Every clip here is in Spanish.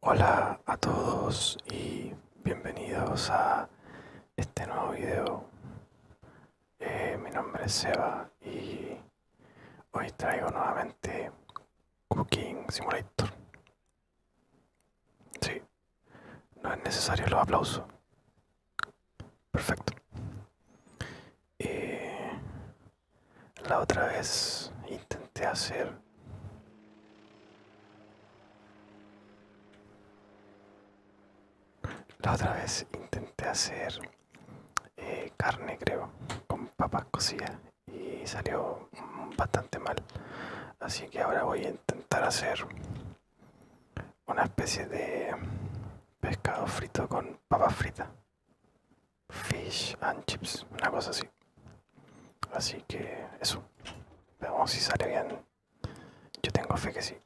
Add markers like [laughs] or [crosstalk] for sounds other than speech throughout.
Hola a todos y bienvenidos a este nuevo video. Eh, mi nombre es Seba y hoy traigo nuevamente Cooking Simulator. Sí, no es necesario los aplausos. Perfecto. Eh, la otra vez intenté hacer la otra vez intenté hacer eh, carne, creo, con papas cocidas y salió bastante mal. Así que ahora voy a intentar hacer una especie de pescado frito con papas fritas. Fish and Chips, una cosa así. Así que eso. Veamos si sale bien. Yo tengo fe que sí.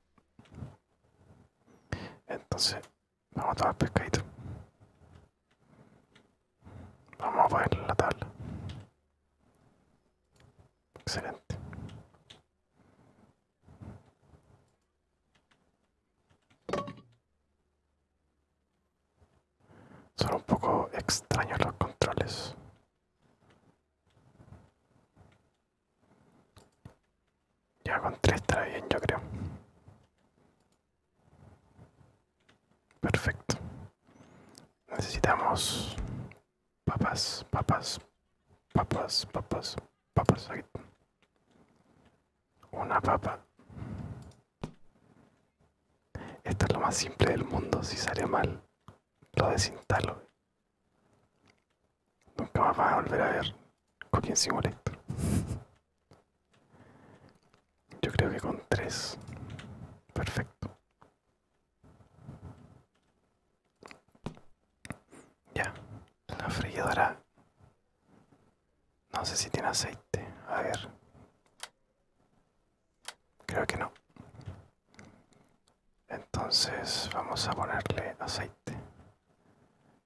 Entonces, vamos a tomar pescadito. Vamos a ver la tabla. Excelente. Son un poco extraños los controles. Ya con tres estará bien, yo creo. Perfecto. Necesitamos papas, papas, papas, papas, papas. Aquí. Una papa. Esto es lo más simple del mundo. Si sale mal, lo desinstalo. Nunca más van a volver a ver Cooking lector. Yo creo que con tres. Perfecto. Ya, la freidora no sé si tiene aceite. A ver. Creo que no. Entonces vamos a ponerle aceite.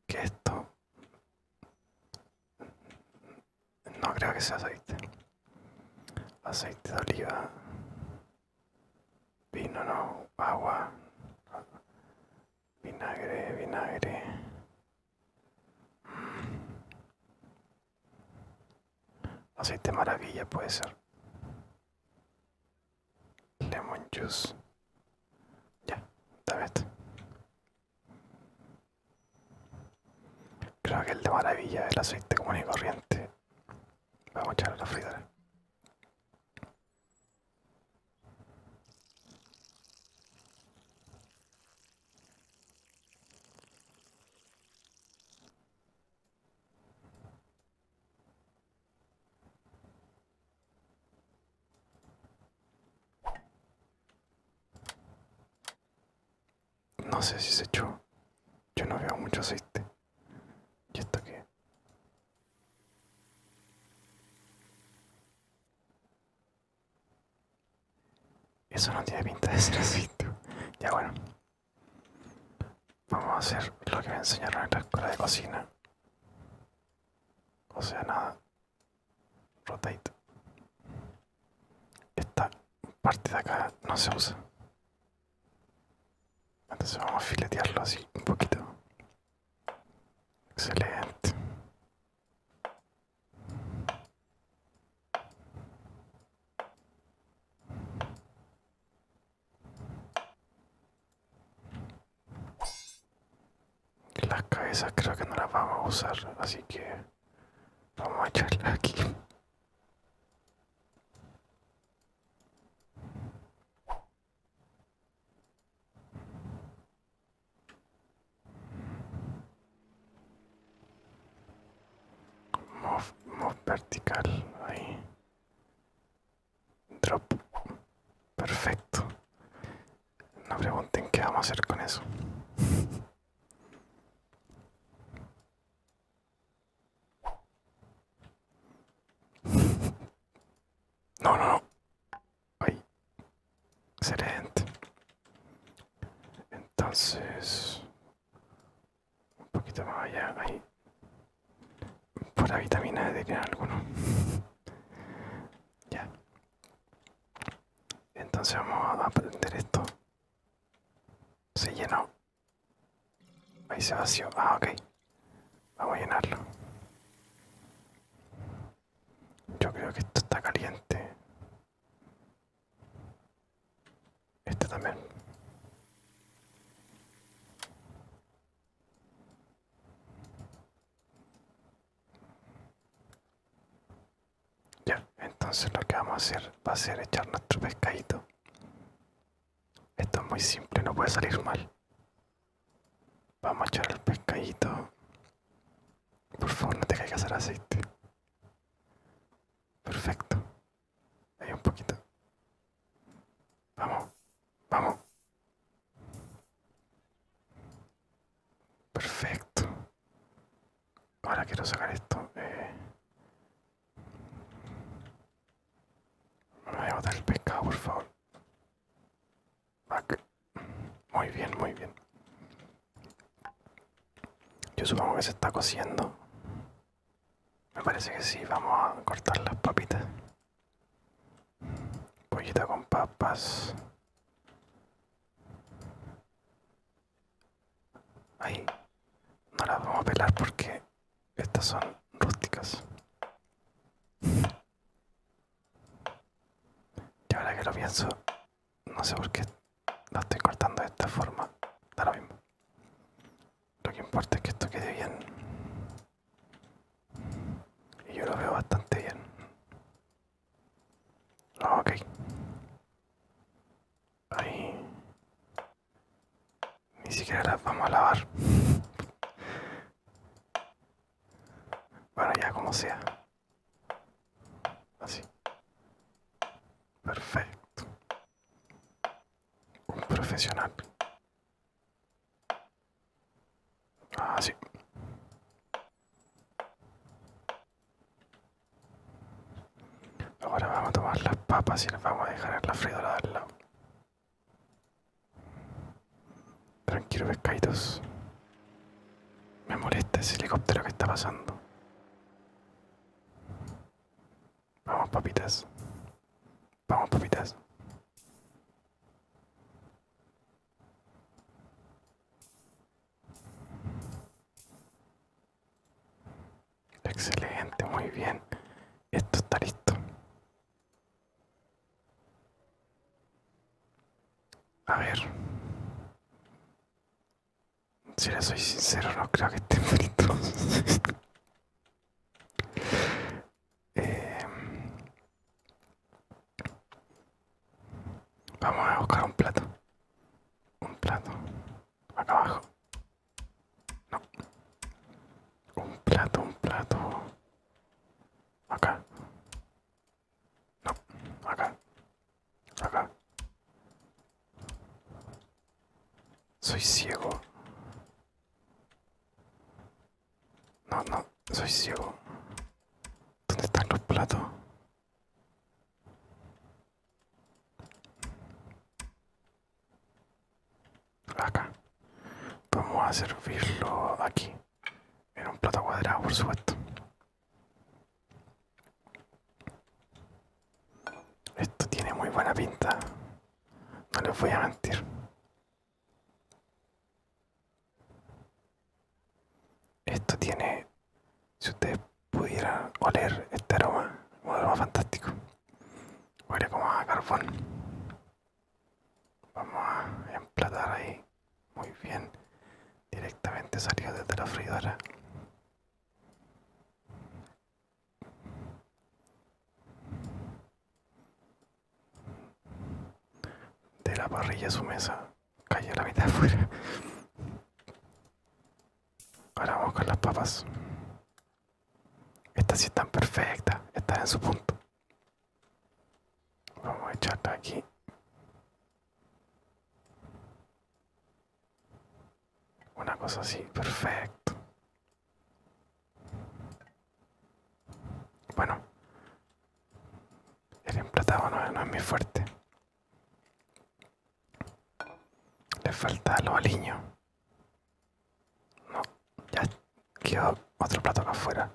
Que esto... No creo que sea aceite. Aceite de oliva. Vino, no. Agua. Vinagre, vinagre. Aceite maravilla puede ser. Lemon juice. Ya, dame Creo que el de maravilla es el aceite común y corriente. Vamos a echarle a la no sé si se echó. Yo no veo mucho aceite. ¿Y está qué? Eso no tiene pinta de ser así, Ya bueno. Vamos a hacer lo que me enseñaron en la escuela de cocina. O sea, nada. Rotate. Esta parte de acá no se usa. Entonces vamos a filetearlo así un poquito. Excelente. Las cabezas creo que no las vamos a usar, así que vamos a echarlas aquí. Move, vertical ahí. Drop. Perfecto. No pregunten qué vamos a hacer con eso. [laughs] No, no, no. ¡Ay! Excelente. Entonces... Un poquito más allá. Ahí. Por la vitamina D que alguno. [laughs] ya. Entonces vamos a aprender esto. Se llenó. Ahí se vació. Ah, ok. Vamos a llenarlo. Yo creo que esto está caliente. Este también. Ya, entonces lo que vamos a hacer va a ser echar nuestro pescadito. Esto es muy simple, no puede salir mal. Vamos a echar el pescadito por favor, no te caigas hacer aceite. Perfecto. Ahí un poquito. Vamos, vamos. Perfecto. Ahora quiero sacar esto. Me eh. voy a botar el pescado, por favor. Ah, muy bien, muy bien. Yo supongo que se está cociendo. Me parece que sí, vamos a cortar las papitas. Pollita con papas. Ahí. No las vamos a pelar porque estas son rústicas. Y ahora que lo pienso, no sé por qué la estoy cortando de esta forma, da lo mismo. Lo que importa es que esto quede bien. Y yo lo veo bastante bien. Ah, ok. Ahí. Ni siquiera las vamos a lavar. [laughs] bueno, ya como sea. Así. Perfecto. Un profesional. Así. Ahora vamos a tomar las papas y las vamos a dejar en la freidora del lado. Tranquilo, pescaditos. Me molesta ese helicóptero que está pasando. Vamos, papitas. Vamos, papitas. Excelente, muy bien. Esto está listo. A ver. Si le soy sincero, no creo que estén bonitos. [laughs] Eh, vamos a buscar un plato. Un plato. Acá abajo. No. Un plato, un plato. Acá. No, acá. Acá. Soy ciego. No, no, soy ciego. ¿Dónde están los platos? Acá. Vamos a servirlo aquí en un plato cuadrado, por supuesto. Esto tiene muy buena pinta, no les voy a mentir. Esto tiene, si ustedes pudieran oler este aroma, un aroma fantástico. Huele como a carbón. Vamos a emplatar ahí. Muy bien. Directamente salió desde la freidora. De la parrilla a su mesa. Cayó la mitad [laughs] afuera. Ahora vamos con las papas. Estas sí están perfectas. Están en su punto. Vamos a echarla aquí. Una cosa así, perfecto. Bueno, el emplatado no, es muy fuerte. Le falta los aliño. No, ya quedó otro plato acá afuera.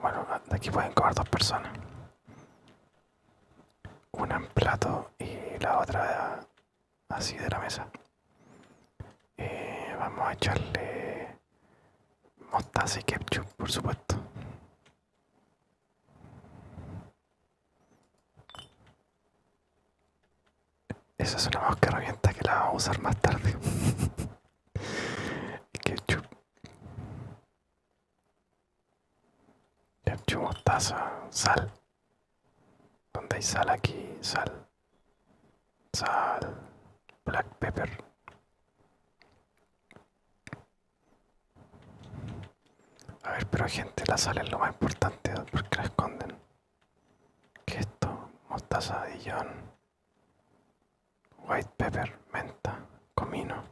Bueno, de aquí pueden cobrar dos personas. Una en plato y la otra así de la mesa. Eh, vamos a echarle mostaza y ketchup, por supuesto. Esa es una mosca herramienta que la vamos a usar más tarde. [laughs] ketchup ketchup mostaza sal donde hay sal aquí sal sal black pepper a ver pero gente la sal es lo más importante porque la esconden que esto mostaza de white pepper, menta, comino.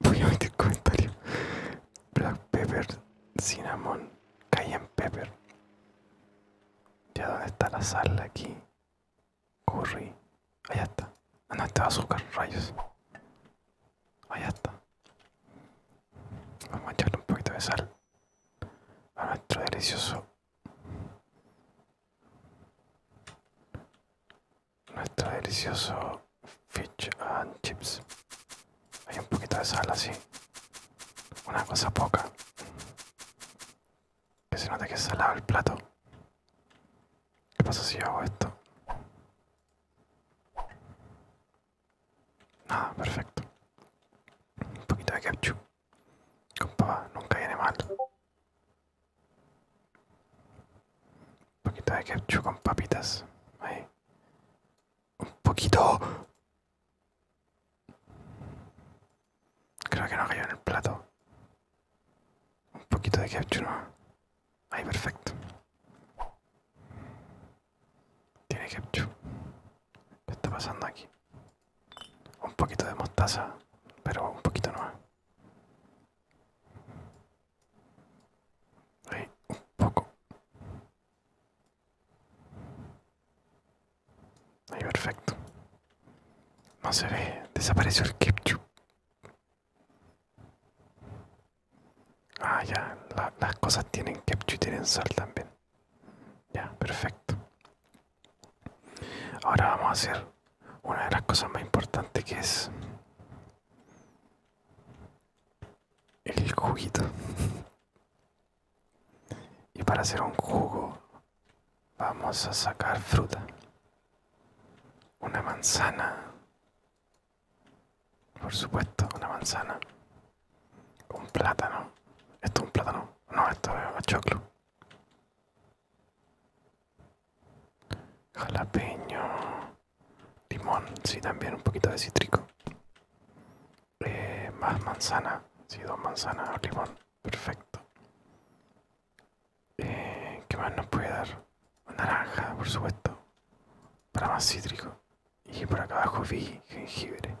Voy a meter comentario. Black pepper, cinnamon, cayenne pepper. Ya dónde está la sal aquí. Curry. Allá está. Ah, no, azúcar, rayos. Allá está. Vamos a echarle un poquito de sal a nuestro delicioso nuestro delicioso fish and chips hay un poquito de sal así una cosa poca que se note que es salado el plato ¿qué pasa si yo hago esto? nada perfecto un poquito de ketchup compa nunca viene mal. Un poquito de ketchup con papitas. Ahí. Un poquito. Creo que no cayó en el plato. Un poquito de ketchup, ¿no? Ahí, perfecto. Tiene ketchup. ¿Qué está pasando aquí? un poquito de mostaza, pero un poquito no. Ahí, un poco. Ahí, perfecto. No se ve, desapareció el ketchup. Ah, ya, las cosas tienen ketchup y tienen sal también. Ya, perfecto. Ahora vamos a hacer una de las cosas más importantes que es el juguito. Y para hacer un jugo vamos a sacar fruta. Una manzana. Por supuesto, una manzana. Un plátano. Esto es un plátano. No, esto es choclo. Jalapeño. Limón. si también un poquito de cítrico. Eh, más manzana. si dos manzanas limón. Perfecto. que eh, ¿Qué más nos puede dar? Naranja, por supuesto. Para más cítrico. Y por acá abajo vi jengibre.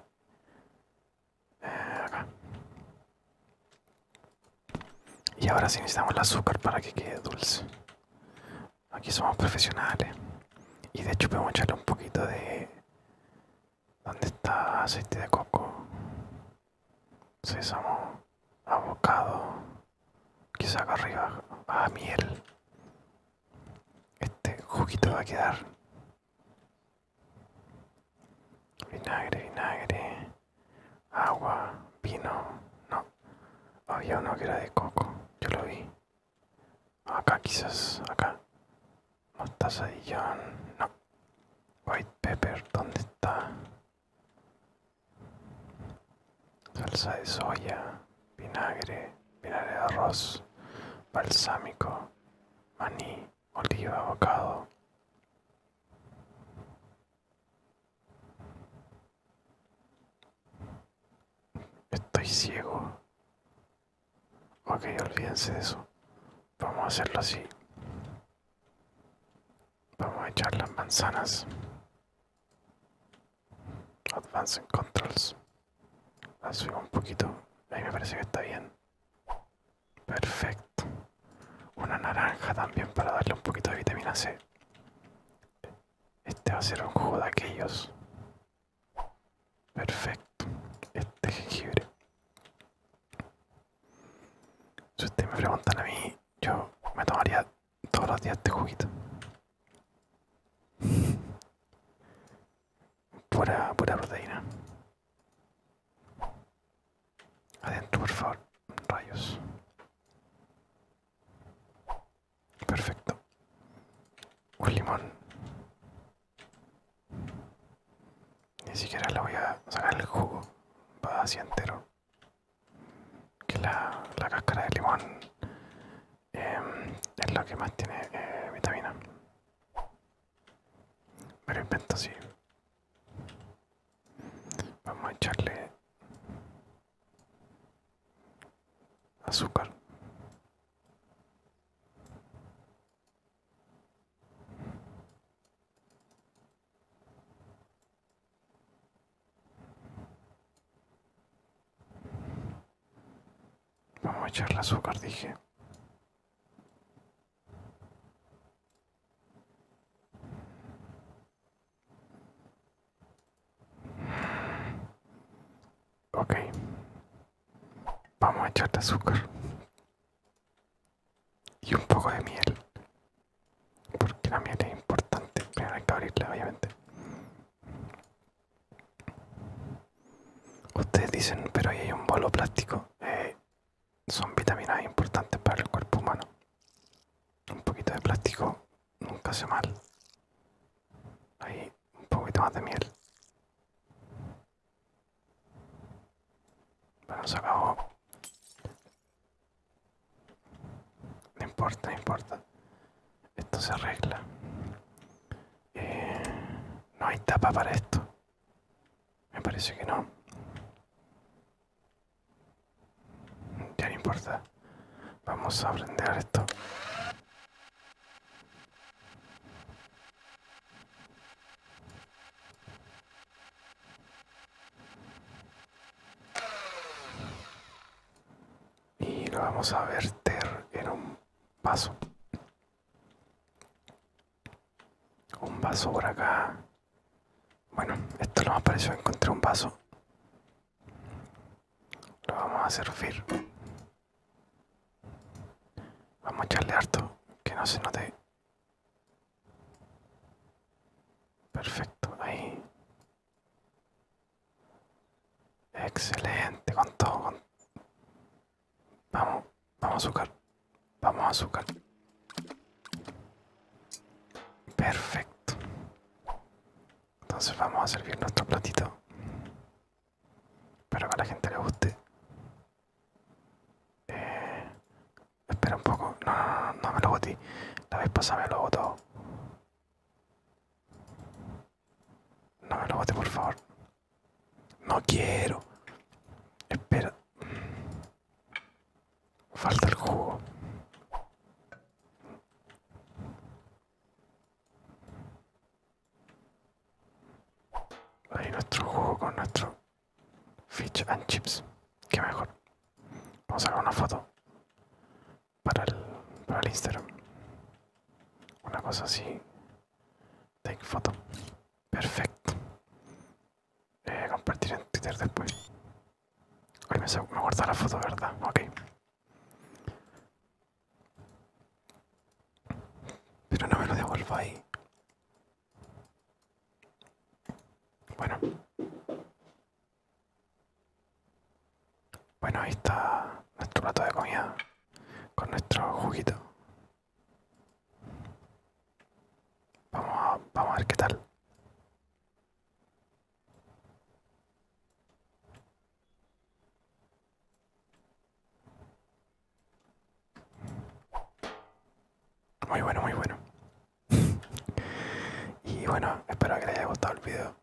Y ahora sí necesitamos el azúcar para que quede dulce. Aquí somos profesionales. Y de hecho podemos echarle un poquito de... ¿Dónde está aceite de coco? Sésamo, abocado, quizá acá arriba, a ah, miel. Este juguito va a quedar vinagre, vinagre, agua, vino, no, había uno que era de coco, yo lo vi, acá quizás, acá, mostaza de no, white pepper, ¿dónde está? Salsa de soya, vinagre, vinagre de arroz, balsámico, maní, oliva, bocado Estoy ciego. Ok, olvídense de eso. Vamos a hacerlo así. Vamos a echar las manzanas. en Controls. La subo un poquito. Ahí me parece que está bien. Perfecto. Una naranja también para darle un poquito de vitamina C. Este va a ser un jugo de aquellos. Perfecto. Este jengibre. Si ustedes me preguntan a mí, yo me tomaría todos los días este juguito pura, pura proteína. Adentro, por favor. Rayos. Perfecto. Un limón. Ni siquiera le voy a sacar el jugo. Va así entero. Que la, la cáscara de limón Em, es lo que más tiene eh, vitamina. pero invento sí. Vamos a echarle azúcar. Vamos a echarle azúcar, dije. Ok. Vamos a echarle azúcar. Y un poco de miel. Porque la miel es importante. Primero hay que abrirla, obviamente. Ustedes dicen, pero ahí hay un bolo plástico. Eh, son vitaminas importantes para el cuerpo humano. Un poquito de plástico nunca hace mal. Ahí un poquito más de miel. Bueno, se acabó. No importa, no importa. Esto se arregla. Eh, no hay tapa para esto. Me parece que no. Ya no importa. Vamos a aprender esto. Y lo vamos a verter en un Paso. Un vaso por acá. Bueno, esto lo más parecido. Encontré un vaso. Lo vamos a servir. Vamos a echarle harto. Que no se note. Perfecto, ahí. Excelente, con todo. Vamos, a azúcar. Vamos a azúcar. Perfecto. Entonces vamos a servir nuestro platito. Espero que a la gente le guste. Eh, espera un poco. No, no, no, me lo boté. La vez pasada me lo botó. No me lo bote, por favor. No quiero. Espera. Falta el jugo. Ahí nuestro jugo con nuestro fish and chips. Qué mejor. Vamos a sacar una foto para el, para Instagram. Una cosa así. Take photo. Perfecto. Eh, compartir en Twitter después. me, me la foto, ¿verdad? Ok. Pero no me lo devuelvo ahí. Bueno. Bueno, ahí está nuestro plato de comida con nuestro juguito. Vamos a, vamos ver qué tal. Muy bueno, muy bueno. [laughs] y bueno, espero que les haya gustado el video.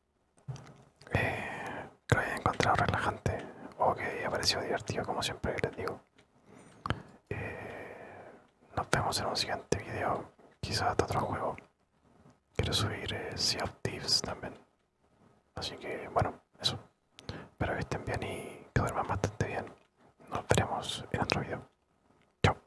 Eh, creo que lo encontrado relajante o que haya parecido divertido como siempre les digo eh, nos vemos en un siguiente video quizás de otro juego quiero subir eh, Sea of Thieves también así que bueno eso espero que estén bien y que duerman bastante bien nos veremos en otro video chao